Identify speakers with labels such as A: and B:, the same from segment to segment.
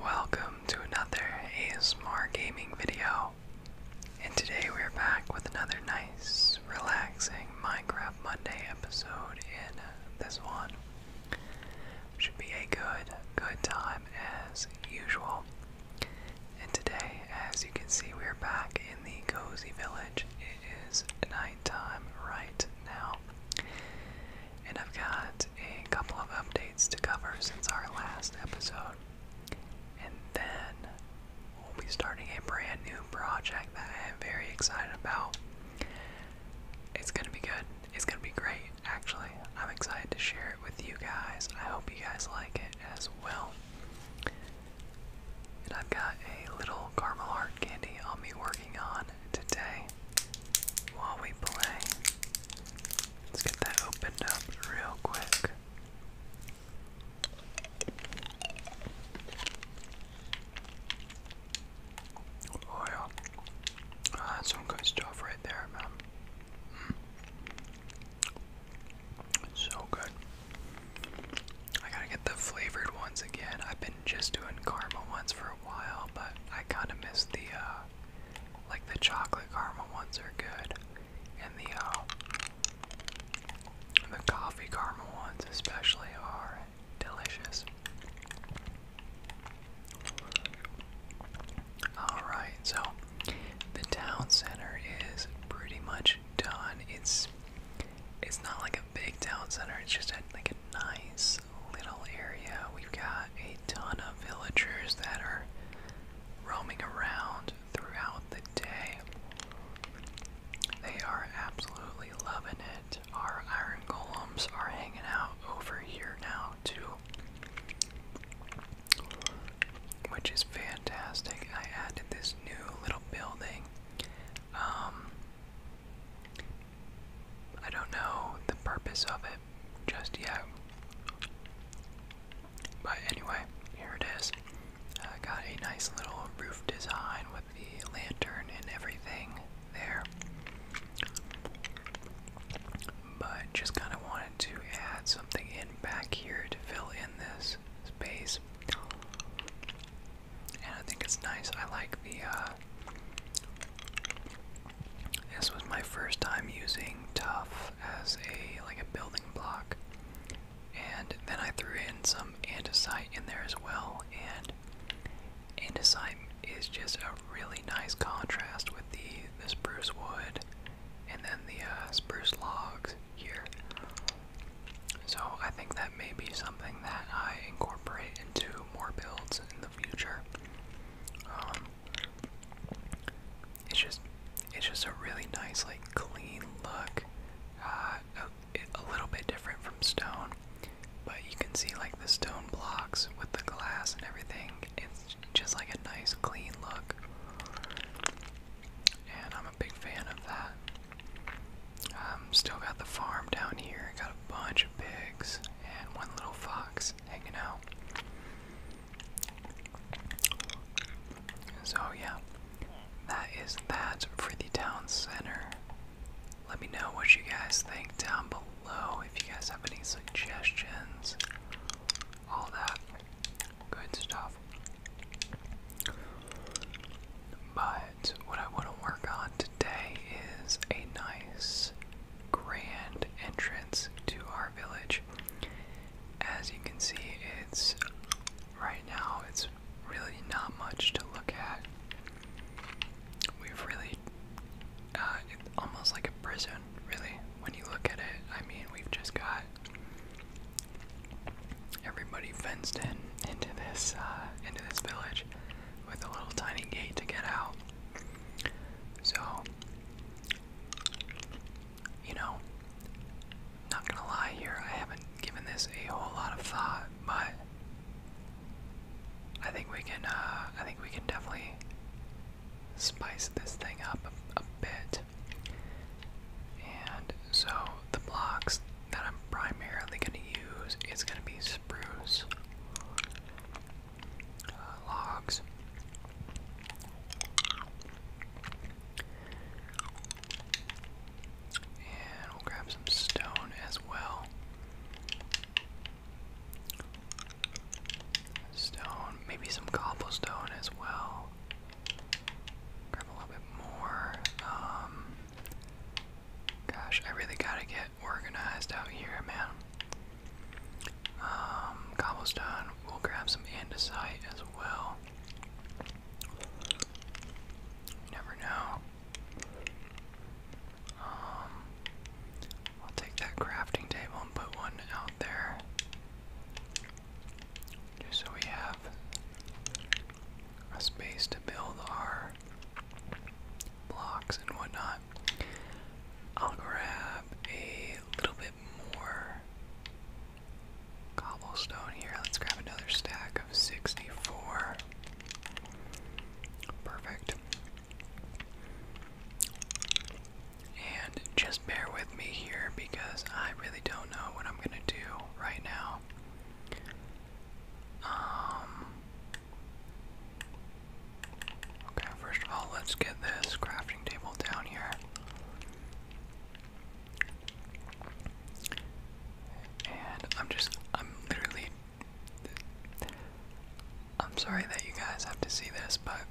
A: Welcome to another ASMR gaming video. And today we're back with another nice, relaxing Minecraft Monday episode in uh, this one. Should be a good, good time as usual. And today, as you can see, we're back in the cozy village. It is nighttime right now and I've got a couple of updates to cover since our last episode. And then we'll be starting a brand new project that I am very excited about. It's gonna be good. It's gonna be great, actually. I'm excited to share it with you guys. I hope you guys like it as well. And I've got a little caramel heart candy on me working working on today while we play. Let's get that opened up real quick. Oh, that's some good stuff right there, man. Mm. So good. I gotta get the flavored ones again. I've been just doing caramel ones for a while, but I kind of miss the, uh, like the chocolate caramel ones are good, and the, uh, the coffee caramel ones especially are delicious. Alright, so the town center is pretty much done. It's it's not like a big town center, it's just like a nice little area, we've got a ton of villagers that are roaming around throughout the day. They are absolutely loving it. Our iron golems are hanging out over here now, too. Which is fantastic. I added this new little building. Um, I don't know the purpose of it just yet. But anyway, here it is. Uh, got a nice little roof design with the lantern and everything there. But just kind of wanted to add something in back here to fill in this space. And I think it's nice. I like the uh, this was my first time using tough as a like a building block. And then I threw in some andesite in there as well and andesite is just a really nice contrast with the the spruce wood and then the uh, spruce logs here. So I think that may be something that I incorporate into more builds in the future. Um, it's just, it's just a really nice, like clean look. Uh, a, little bit different from stone, but you can see like the stone blocks with the glass and everything. It's just like a nice, clean look, and I'm a big fan of that. I'm um, still got the farm down here bunch of pigs and one little fox hanging out. So, yeah, that is that for the town center. Let me know what you guys think down below if you guys have any suggestions. All that good stuff. But what I want to work on today is a nice grand entrance to our village. As you can see, it's right now, it's really not much to look at. We've really, uh, it's almost like a prison, really. When you look at it, I mean, we've just got everybody fenced in into this uh, into this village with a little tiny gate to get out. So, you know, not gonna lie here, I haven't given this a whole lot of thought, but I think we can, uh, I think we can definitely spice this thing up a, a bit. And so the blocks that I'm primarily going to use is going to be spruce, uh, logs. And we'll grab some stone as well. Stone, maybe some cobblestone as well. Grab a little bit more. Um, gosh, I really gotta get organized out here, man. Um, cobblestone. We'll grab some andesite as well. never know. Um, I'll take that crafting table and put one out there. Just so we have a space to build our blocks and whatnot. I'll grab a little bit more cobblestone here. Let's grab another stack of 64. Perfect. And just bear with me here because I really don't know what I'm going to do right now. Um Okay, first of all, let's get this crafting table down here. And I'm just, I'm literally, I'm sorry that you guys have to see this, but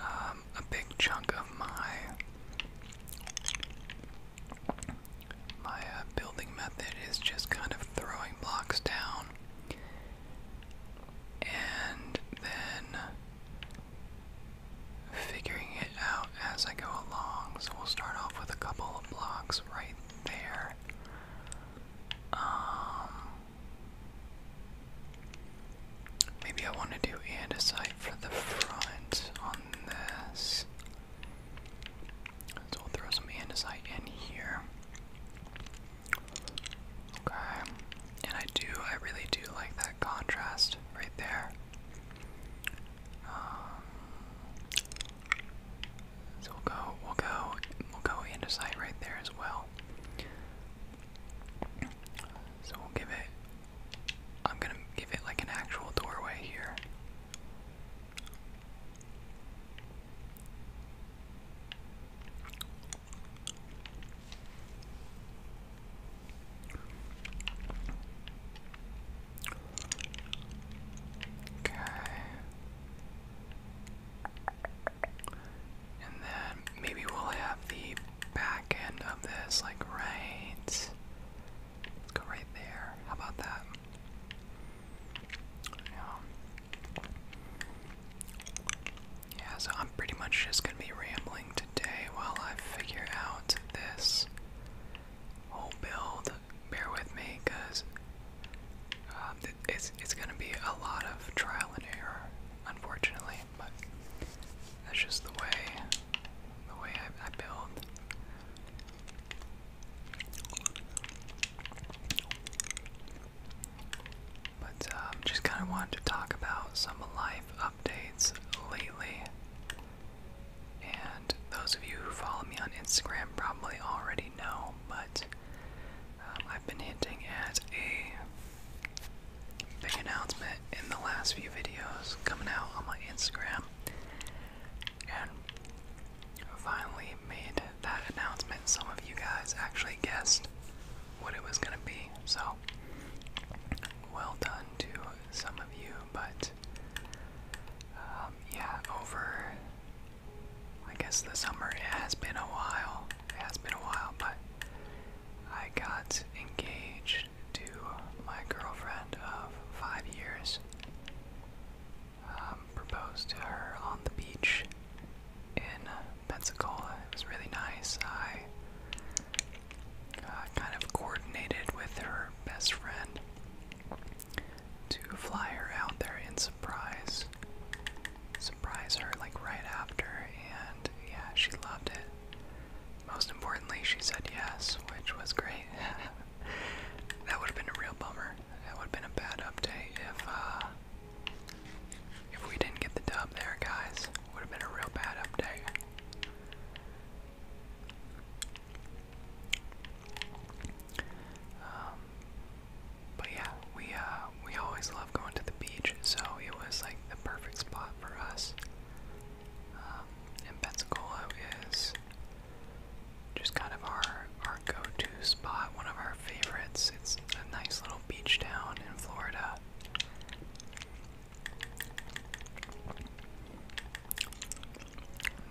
A: um, a big chunk of my my uh, building method is just kind of throwing blocks down and then figuring it out as I go along. So we'll start off with a couple of blocks right there. Um, maybe I want to do andesite for the front on this. So we'll throw some andesite in here. Okay. And I do, I really do like that contrast right there. Um, so we'll go, we'll go, we'll go andesite right there as well. So we'll give it, I'm gonna give it like an actual doorway here. Okay. And then maybe we'll have the back of this like right. Let's go right there. How about that? Yeah. Yeah, so I'm pretty much just gonna be rambling today while I figure out this whole build. Bear with me, cause um, it's it's gonna be a lot of trial and error, unfortunately. But that's just the way the way I, I build. But um, just kind of wanted to talk about some life updates lately. And those of you who follow me on Instagram probably already know, but um, I've been hinting at a big announcement in the last few videos coming out on my Instagram. And finally made that announcement, some of you guys actually guessed what it was going to be. So, well done to some of you, but um, yeah, over I guess the summer, has been a while. has been a while, but I got engaged to my girlfriend of five years um, proposed to her on the beach in uh, Pensacola. It was really nice. I uh, kind of coordinated with her best friend to fly her out there in surprise, surprise her like right after. And yeah, she loved it. Most importantly, she said yes, which was great. that would have been a real bummer. That would have been a bad update if uh, if we didn't get the dub there, guys. Would have been a real bad update. Um, but yeah, we uh, we always love going to the beach, so it was like the perfect spot for us. Um, and Pensacola is just kind of our our go-to spot, one of our favorites. It's a nice little beach town in Florida.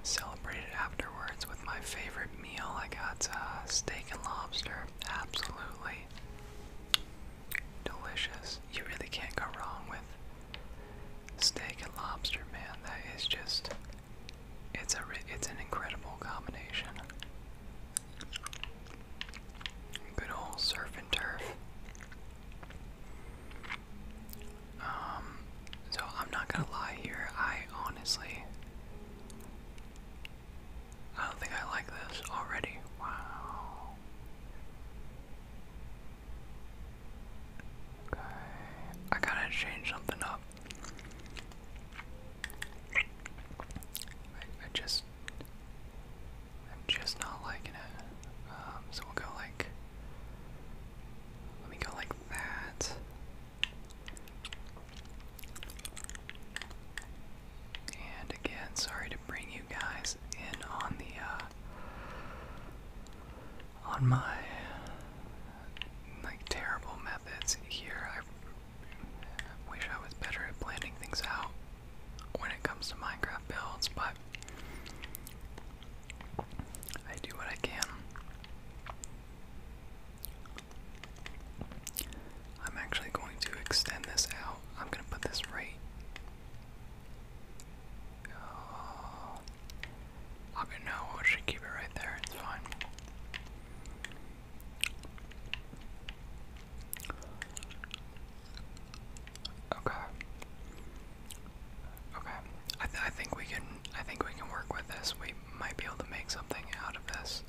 A: Celebrated afterwards with my favorite meal. I got uh, steak and lobster. Absolutely delicious. You really can't go wrong with steak and lobster, man. That is just it's a it's an incredible combination. Good old surf and turf. Um, so I'm not gonna lie here. I honestly, I don't think I like this already. Wow. Okay, I gotta change something up. I, just, I'm just not liking it. Um, so we'll go like, let me go like that. And again, sorry to bring you guys in on the, uh, on my like terrible methods here. I wish I was better at planning things out when it comes to Minecraft builds, but I do what I can. I'm actually going to extend this out. I'm going to put this right. Oh, I no, I should keep it right there, it's fine. Okay. Okay. I, I think we can. I think we can work with this. We might be able to make something out of this.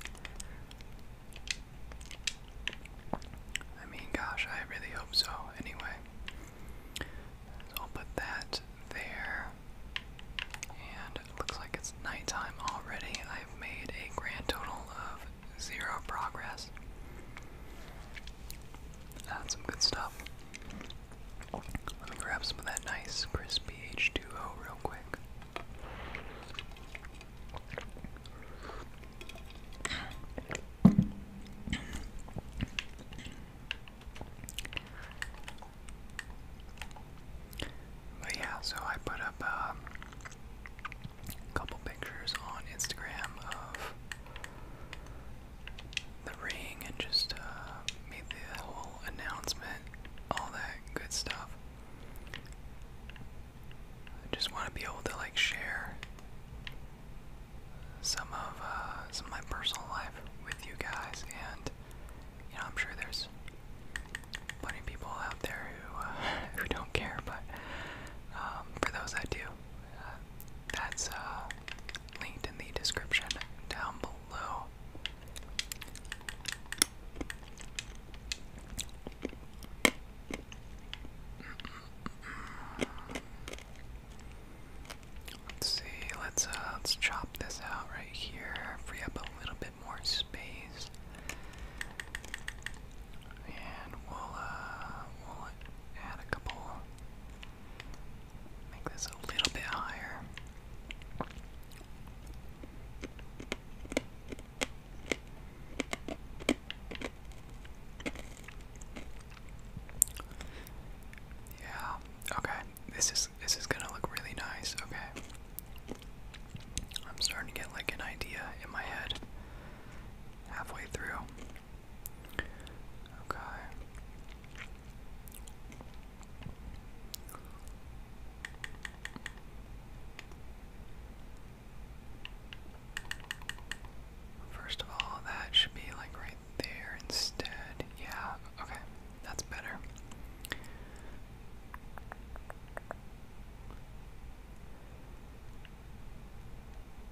A: I mean, gosh, I really hope so. Anyway, I'll put that there. And it looks like it's nighttime already. I've made a grand total of zero progress. That's some good stuff. Let me grab some of that nice crispy H2O real quick. But yeah, so I put up a um, couple pictures on Instagram of the ring and just uh, made the whole announcement, all that good stuff. I just want to be able to like share some of uh, some of my personal life with you guys, and you know I'm sure there's plenty of people out there who uh, who don't care, but um, for those that do, uh, that's linked in the description down below. Let's see, let's uh, let's chop this out right here, free up a little bit more space. And we'll uh, we'll add a couple make this a little bit higher. Yeah. Okay. This is this is gonna look really nice. Okay. I'm starting to get like an idea in my head. Halfway through. Okay. First of all, that should be like right there instead. Yeah, okay, that's better.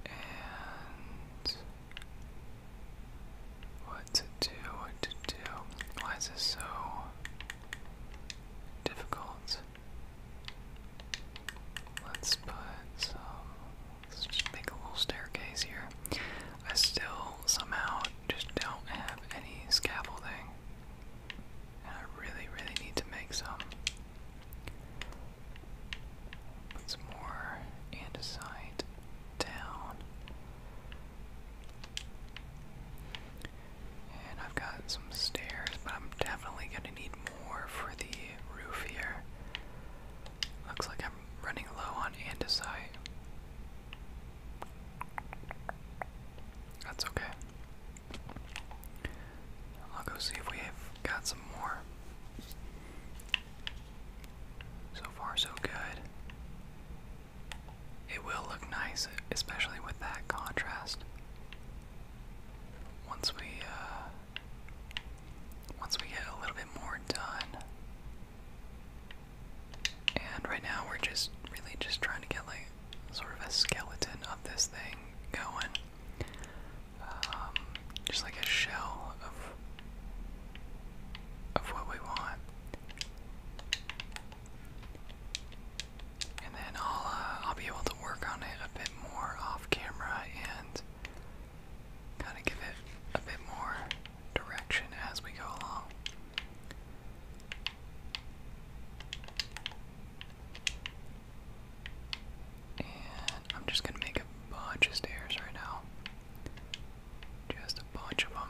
A: And what to do, what to do. Why is this so difficult? Let's put some Let's just make a little staircase here. I still somehow just don't have any scaffolding. And I really, really need to make some. Put some more andesite down. And I've got some stairs, but I'm definitely gonna need more for the roof here. Looks like I'm running low on andesite. That's okay. I'll go see if we have got some more. So far, so good. It will look nice, especially with that contrast. Once we, uh, once we get a little bit more done, and right now we're just really just trying to get like sort of a skeleton of this thing going. Um, just like a shell of of what we want. And then I'll uh, I'll be able to work on it a bit more off camera and kind of give it a bit more direction as we go along. And I'm just going to make a bunch of stairs right now. Just a bunch of them.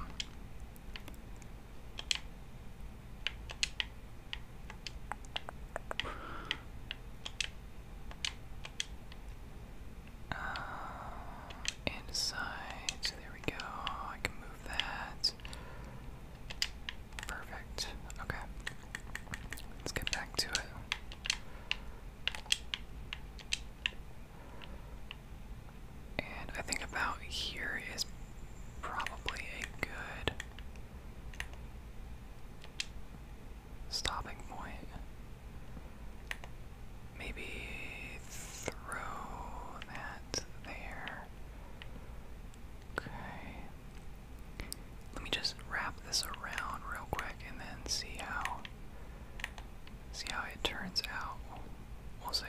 A: Um, inside, there we go. I can move that. Perfect. Okay. Let's get back to it. And I think about here is probably a good stopping point. Maybe throw that there. Okay. Let me just wrap this around real quick and then see how see how it turns out. We'll see.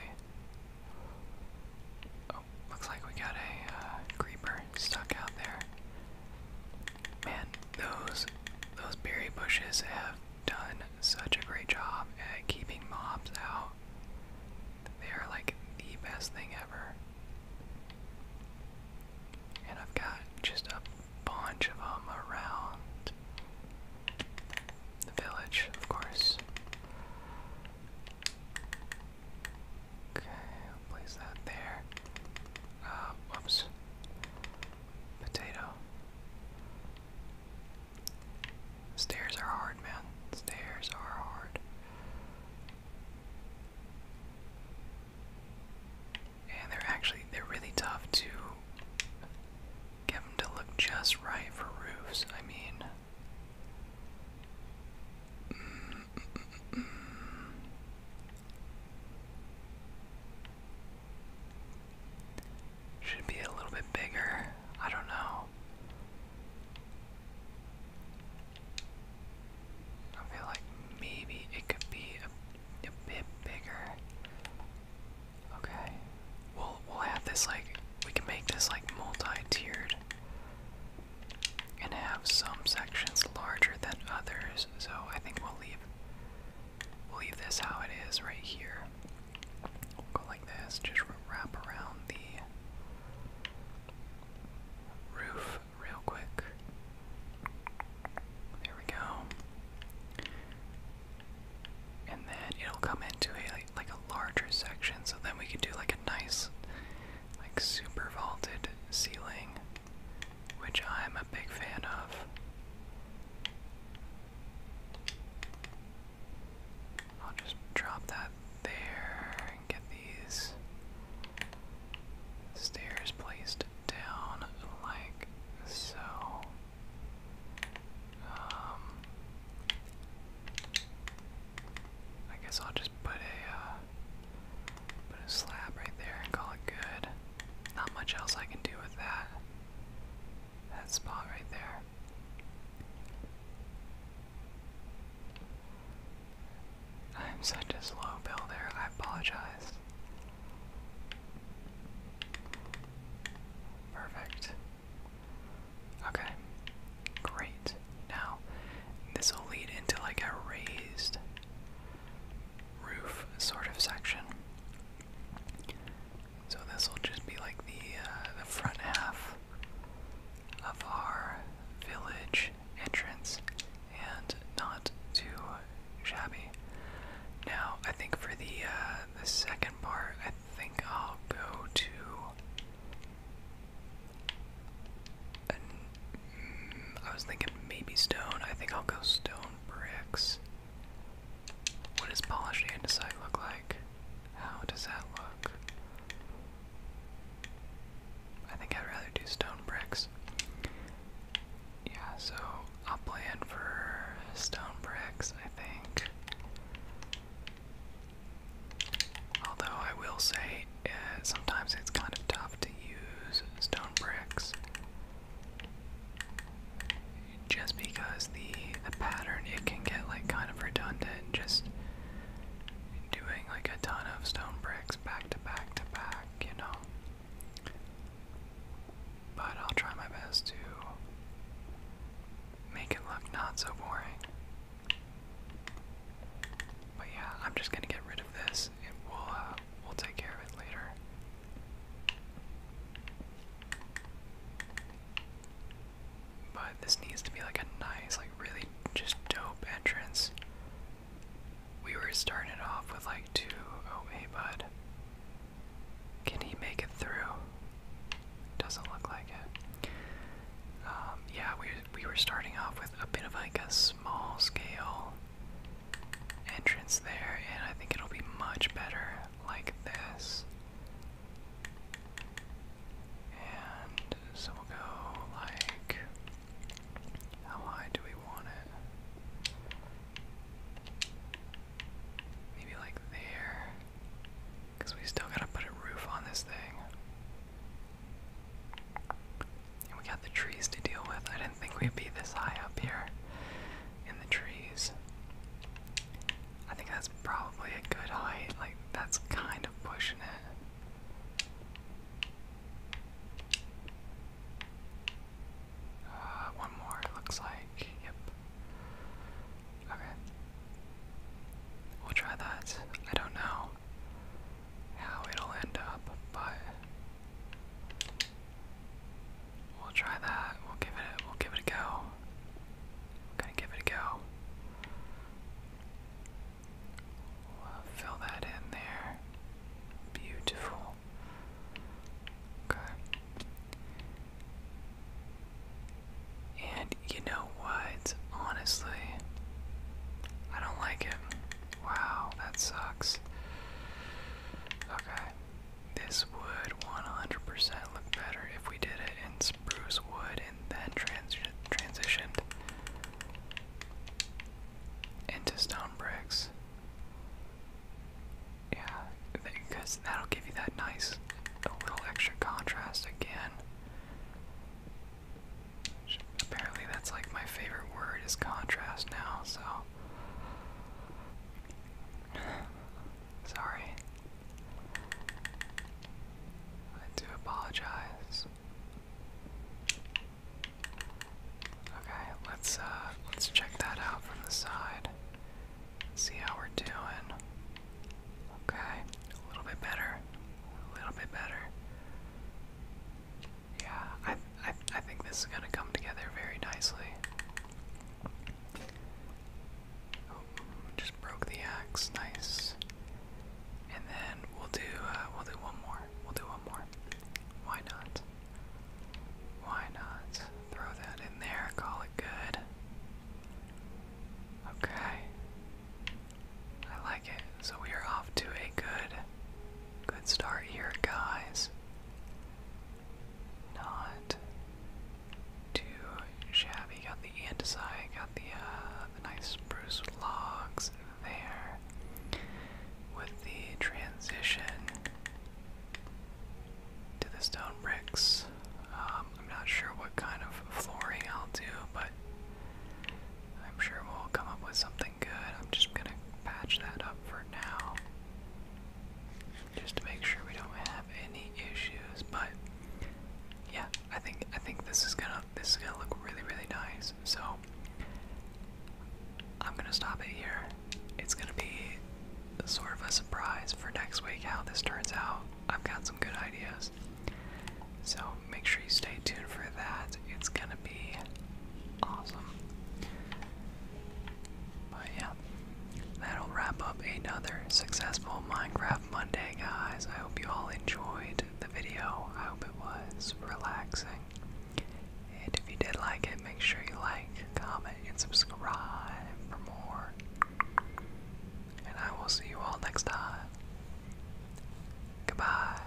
A: Oh, looks like we got a uh, creeper stuck out there. Man, those those berry bushes have done such a great job at keeping mobs out. They are like the best thing ever. And I've got just a bunch of them around the village, of course. Okay, I'll place that there. Uh, whoops potato. Stairs are hard, man. Stairs are hard. And they're actually, they're really tough to get them to look just right for roofs. I mean, should be a little bit bigger. I don't know. I feel like maybe it could be a, bit bigger. Okay. We'll we'll have this like we can make this like multi-tiered and have some sections larger than others. So I think we'll leave We'll leave this how it is right here. go like this, just wrap around the roof real quick. There we go. And then it'll come into a like, a larger section, so then we could do like a nice, like super vaulted ceiling, which I'm a big fan of. I'll just drop that there and get these stairs placed down like so. Um, I guess I'll just put a uh, put a slab right there and call it good. Not much else I can do with that. That spot right there. I'm such a slow builder, I apologize. Perfect. Okay. Great. Now, this will lead into like a raised roof sort of section. So this will just be like the uh, the front half of our village entrance, and not too shabby. Now I think for the uh, the second part, I think I'll go to. Mm, I was thinking maybe stone. I think I'll go stone bricks. What does polished andesite look like? How does that look? I think I'd rather do stone bricks. Yeah, so I'll plan for stone bricks, I think. Although I will say, uh, sometimes it's kind of tough to use stone bricks just because the the pattern it can get like kind of redundant, just doing like a ton of stone bricks back to back to back, you know. But I'll try my best to make it look not so boring. But yeah, I'm just gonna get rid of this. It will uh, we'll take care of it later. But this needs to be like a nice, like really just dope entrance. We were starting off with like two. Oh, hey, bud. Can he make it through? Doesn't look like it. Um, yeah, we we were starting off with a bit of like small scale entrance there, and I think it'll be much better like this. And so we'll go like. How high do we want it? Maybe like there. Because we still gotta put a roof on this thing we got the trees to deal with. I didn't think we'd be this high up here in the trees. I think that's probably a good height. Like, that's kind of pushing it. Uh, one more, it looks like. Yep. Okay. We'll try that. I don't know how it'll end up, but We'll try that. We'll give it a, we'll give it a go. We're gonna give it a go. fill that in there. Beautiful. Okay. And you know what? Honestly, I don't like it. Wow, that sucks. Okay, this would 100% look better if we did it in spruce wood and then transitioned into stone bricks. Yeah, because that'll give you that nice little extra contrast again. Apparently, that's like my favorite word is contrast now, so Sorry. I do apologize. Okay, let's uh let's check that out from the side. See how we're doing. Okay, a little bit better. A little bit better. Yeah, I, I, I think this is going to come together very nicely. Oh, just broke the axe, nice. And then we'll do uh, we'll do one more. We'll do one more. Why not? Why not? Throw that in there. Call it good. Okay. I like it. So we are off to a good Good start here, guys. Not too shabby. Got the andesite, got the uh, nice spruce logs there. With the transition to the stone bricks, um, I'm not sure what kind of flooring I'll do, but I'm sure we'll come up with something good. I'm just gonna patch that up for now. Just to make sure we don't have any issues, but yeah, I think I think this is gonna this is gonna look really really nice. So I'm gonna stop it here. It's gonna be sort of a surprise for next week how this turns out. I've got some good ideas, so make sure you stay tuned for that. It's gonna be awesome. But yeah, that'll wrap up another successful Minecraft Monday, guys. I hope you all enjoyed the video. I hope it was relaxing. And if you did like it, make sure you like, comment, and subscribe for more. And I will see you all next time. Goodbye.